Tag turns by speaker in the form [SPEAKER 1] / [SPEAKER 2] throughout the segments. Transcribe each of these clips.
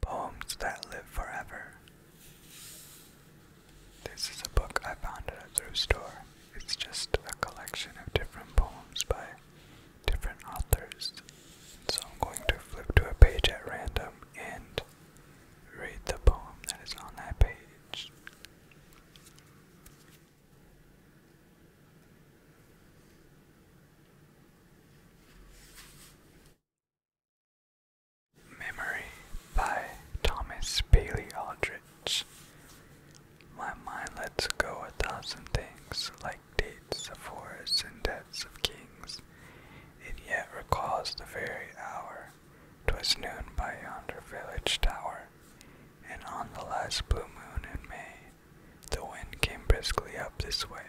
[SPEAKER 1] Poems that live forever. This is a book I found at a thrift store. It's just a collection of different poems by different authors. So I'm going to flip to a page at random and read the poem that is on that page. Memory by Thomas Bailey Aldrich. My mind lets go a thousand things, like dates of wars and deaths of kings. It yet recalls the very hour. 'Twas noon by yonder village tower and on the last blue moon in May, the wind came briskly up this way,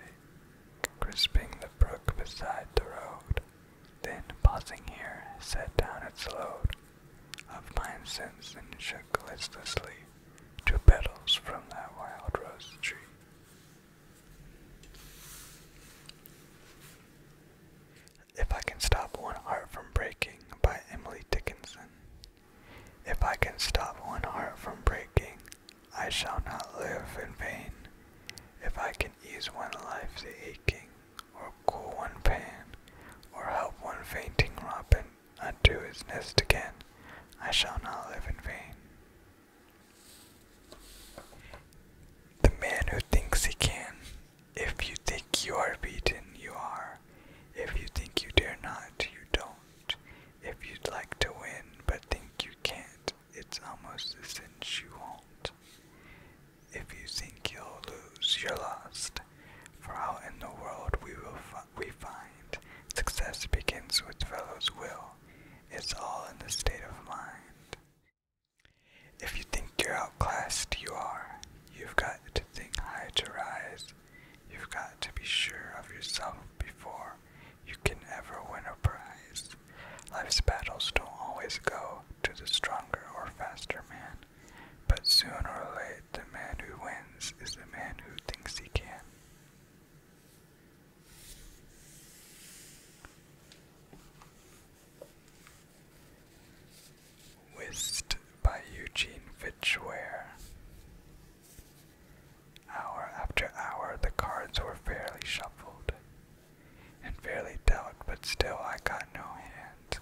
[SPEAKER 1] crisping the brook beside the road, then, pausing here, set down its load of incense and shook listlessly two petals from that wild rose tree. If I Can Stop One Heart from Breaking by Emily Dickinson. If I can stop one heart from breaking, I shall not live in vain. If I can ease one life's aching, or cool one pain, or help one fainting robin unto his nest again, I shall not live in vain. The man who thinks he can if you think you are beaten, you are. If you think you dare not, you don't. If you'd like to win but think you can't, it's almost a cinch you will If you think you'll lose, you're lost. For out in the world we will we find success begins with fellows' will. It's all in the state of mind. If you think you're outclassed, you are. You've got to think high to rise. You've got to be sure of yourself before you can ever win a prize. Life's battles don't always go to the stronger or faster man, but soon or late, the man who wins is the man who thinks he can. Whist by Eugene Fitchware. Hour after hour the cards were fairly shuffled and fairly dealt, but still I got no hand.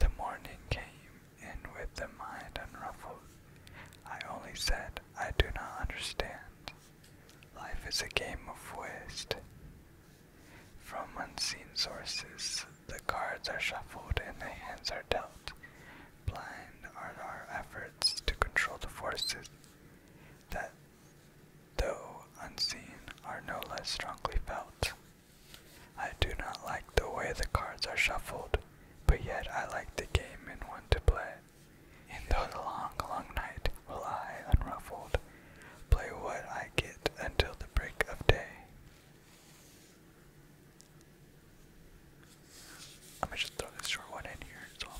[SPEAKER 1] The morning came, in with the mind unruffled, I only said, I do not understand. Life is a game of whist. From unseen sources, the cards are shuffled and the hands are dealt. Blind are our efforts to control the forces that, though unseen, are no less strongly felt. I do not like the way the cards are shuffled, but yet I like the game and want to play. In the long, long night will I, unruffled, Play what I get until the break of day. I'm gonna just throw this short one in here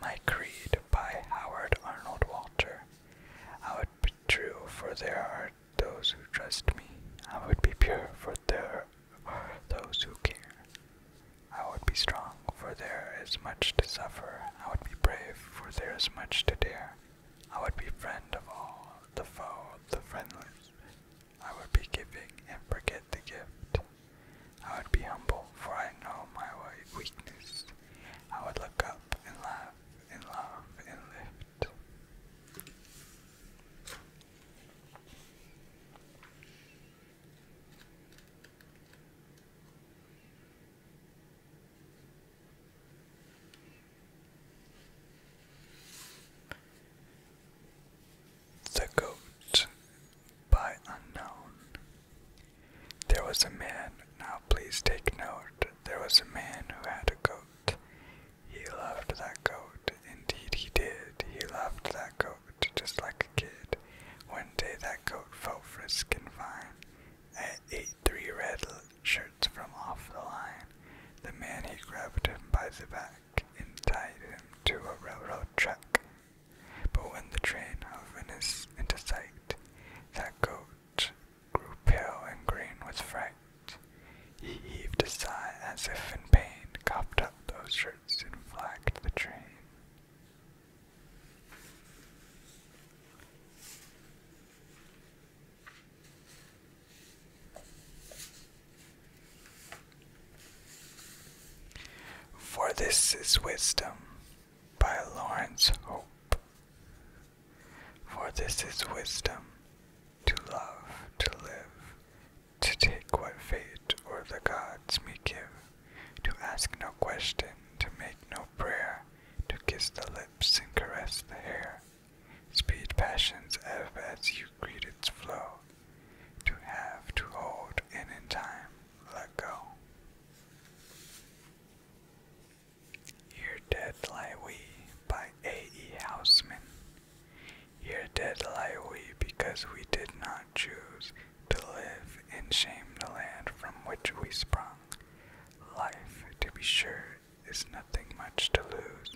[SPEAKER 1] My Creed by Howard Arnold Walter. I would be true, for there are those who trust me. I would be pure, for there are those who care. I would be strong, for there is much to suffer. I would be brave, for there is much to dare. I would be friend of all, the foe, the friendless. I would be giving and forget the gift. I would be humble, for I know my weakness. I would look up and laugh and love and lift. The Goat by Unknown. There was a man, now please take note, there was a man who had a goat. He loved that goat, indeed he did, he loved that goat just like a kid. One day that goat felt frisk and fine. Matt three red shirts from off the line. The man he grabbed him by the back and tied him to a railroad track. But when the train hove into sight, that goat grew pale and green with fright. He heaved a sigh as if in pain, coughed up those shirts and flagged the train. For This is Wisdom by Lawrence Hope. For this is wisdom to love, to live, to take what fate or the gods may give to ask no question, to make no prayer, to kiss the lips and caress the hair. Speed passions ebb as you greet its flow, to have, to hold, and in time let go. Here dead lie we by A.E. Houseman. Here dead lie we because we did not choose to live and shame the land from which we sprung. Life, to be sure, is nothing much to lose,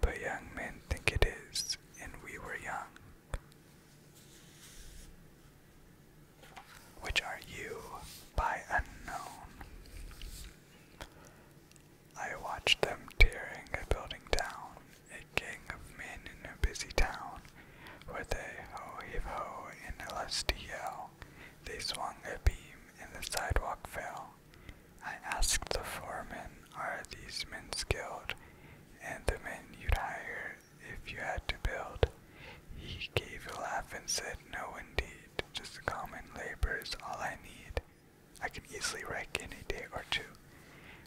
[SPEAKER 1] but young men think it is, and we were young. Which are you by unknown? I watched them tearing a building down, a gang of men in a busy town, with a ho-heave ho and a lusty yell, they swung a beam and the sidewalk fell. I asked the foreman, are these men skilled, and the men you'd hire if you had to build? He gave a laugh and said, no indeed, just common labor is all I need. I can easily wreck any day or two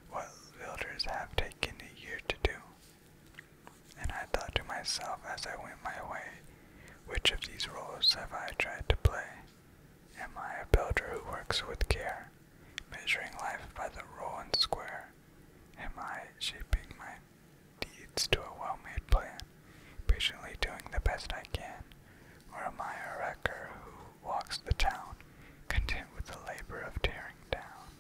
[SPEAKER 1] what builders have taken a year to do. And I thought to myself as I went my way, which of these roles have I tried to play? Am I a builder who works with care, measuring life by the roll and square? Am I shaping my deeds to a well-made plan, patiently doing the best I can? Or am I a wrecker who walks the town, content with the labor of tearing down?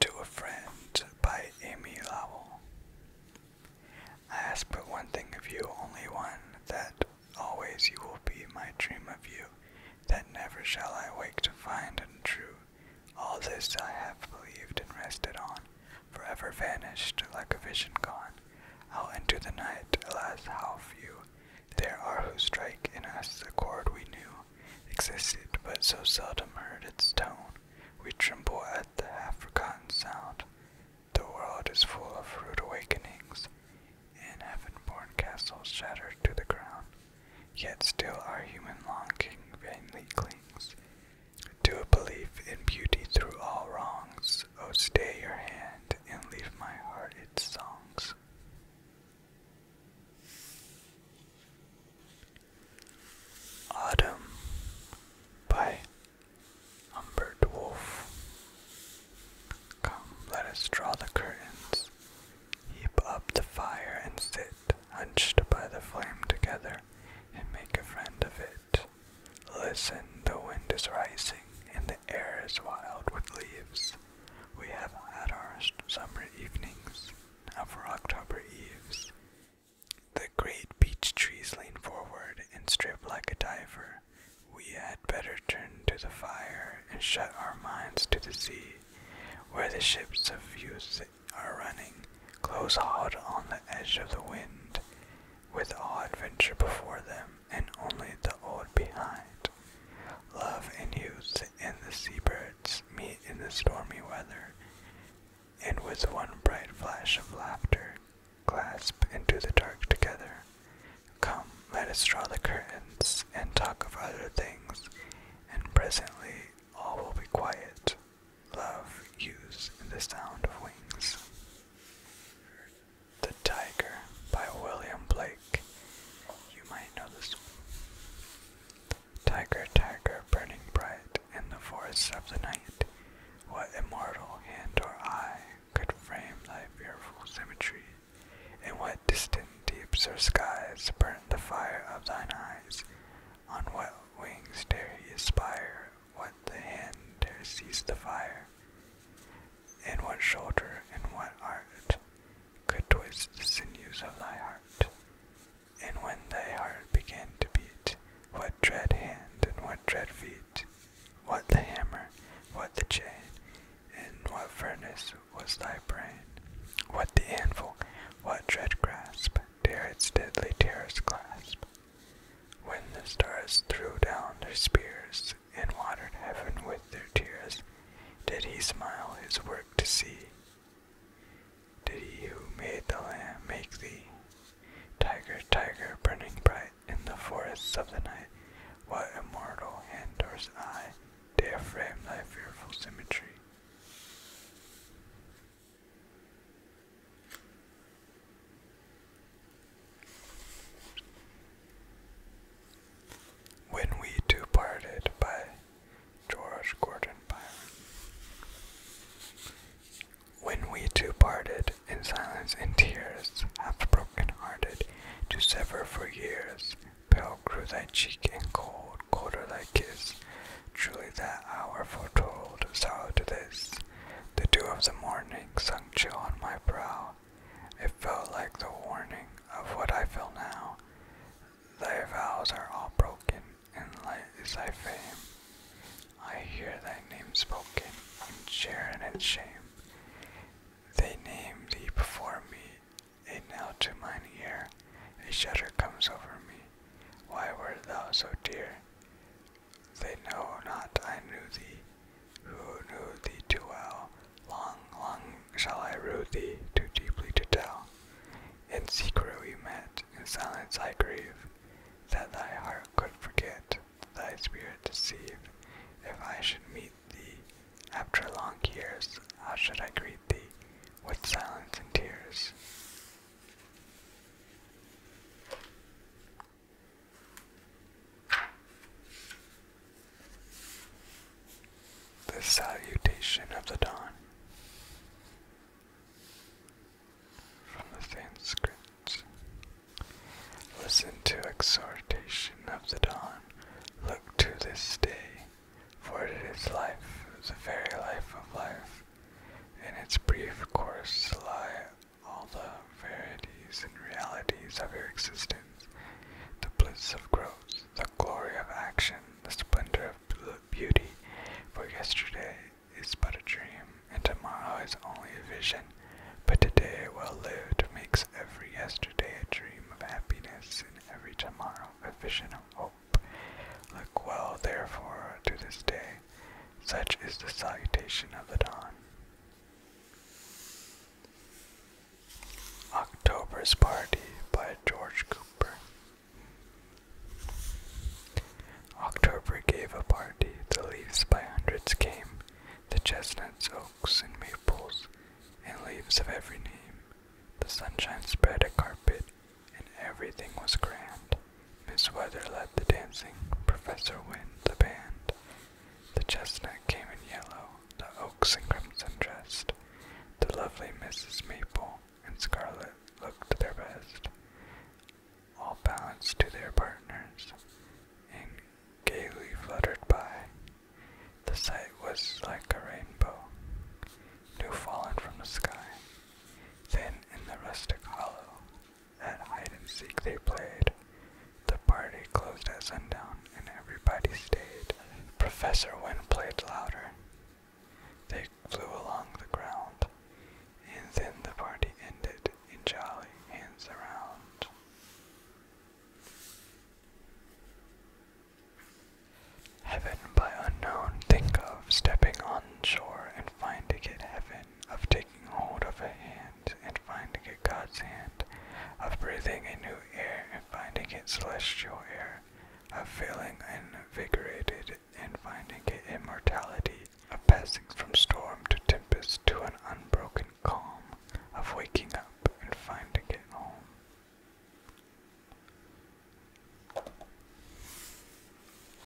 [SPEAKER 1] To a Friend by Amy Lowell. I ask but one thing of you, only one, that always you will be my dream of you, that never shall I wake to find untrue. All this I have believed and rested on, forever vanished like a vision gone. Out into the night, alas, how few there are who strike in us the chord we knew existed, but so seldom heard its tone. We tremble at the half-forgotten sound. The world is full of rude awakenings, and heaven-born castles shattered to the ground. Yet still our human longing vainly clings to a belief in beauty through all wrongs. Oh, stay your hand and leave my heart its songs this. Autumn by Umber Dwarf. Come, let us draw the curtains, heap up the fire, and sit hunched by the flame together, and make a friend of it. Listen, the wind is rising, and the air is wild with leaves. We have had our summer evenings, now uh, for October eves. The great beech trees lean forward and strip like a diver. We had better turn to the fire and shut our minds to the sea, where the ships of youth are running, close hauled on the edge of the wind, with all adventure before them and only the old behind. Love and youth and the seabirds meet in the stormy weather, and with one bright flash of laughter clasp into the dark together. Come, let us draw the curtains and talk of other things, and presently all will be quiet. Love, youth, and the sound of wings. The Tiger by William Blake. You might know this Tiger, tiger, burning bright in the forests of the night, what immortal hand or eye could frame thy fearful symmetry? In what distant deeps or skies burnt the fire of thine eyes? On what wings dare he aspire? What the hand dare seize the fire? in what shoulder, and what art, could twist the sinews of thy heart. And when thy heart began to beat, what dread hand and what dread feet, what the hammer, what the chain, in what furnace was thy brain, what the anvil, what dread grasp, dare its deadly terrors clasp. When the stars threw down their spears, and watered heaven with their tears, did he smile his work to see. Did he who made the lamb make thee? Tiger, tiger, burning bright in the forests of the night, what immortal hand doors eye dare frame thy fearful symmetry? When We Two Parted by George Gordon Byron. When we two parted in silence and tears, half broken hearted, to sever for years, pale grew thy cheek and cold, colder thy kiss. Truly that hour foretold sorrow to this. The dew of the morning sunk chill on my brow, it felt like the warning of what I feel now. Thy vows are all broken, and light is thy fame. I hear thy name spoken, and share in its shame. They name thee before me, a now to mine ear, a shudder comes over me. Why wert thou so dear? They know not I knew thee, who knew thee too well. Long, long shall I rue thee, too deeply to tell. In secret we met, in silence I grieve, that thy heart could forget, thy spirit deceive. If I should meet thee after long years, how should I greet thee with silence and tears? The Salutation of the Dawn. From the Sanskrit. Listen to exhortation of the dawn. Look to this day, for it is life, the very life of life. In its brief course lie all the verities and realities of your existence, the bliss of growth, the glory of action, the splendor of beauty, for yesterday is but a dream, and tomorrow is only a vision, but today well lived makes every yesterday a dream of happiness, and every tomorrow a vision of hope. Look well, therefore, to this day, such is the salutation of the dawn. October's Party by George Cooper. October gave a party, the leaves by hundreds came, the chestnuts, oaks, and maples, and leaves of every name. The sunshine spread a carpet, and everything was grand. Miss Weather led the dancing, Professor Wynne the band. The chestnut came in yellow, the oaks in crimson dressed. The lovely Mrs. Maple and Scarlet looked their best. All balanced to their partners, and gaily fluttered by. The sight was like a rainbow, new fallen from the sky. Then in the rustic hollow, at hide and seek they played. The party closed at sundown and everybody stayed. Professor Wind played louder. They flew along the ground. And then the party ended in jolly hands around. Heaven by unknown think of stepping on shore and find heaven of taking hold of a hand and finding it God's hand, of breathing a new air and finding it celestial air, of feeling invigorated and finding it immortality, of passing from storm to tempest to an unbroken calm, of waking up and finding it home.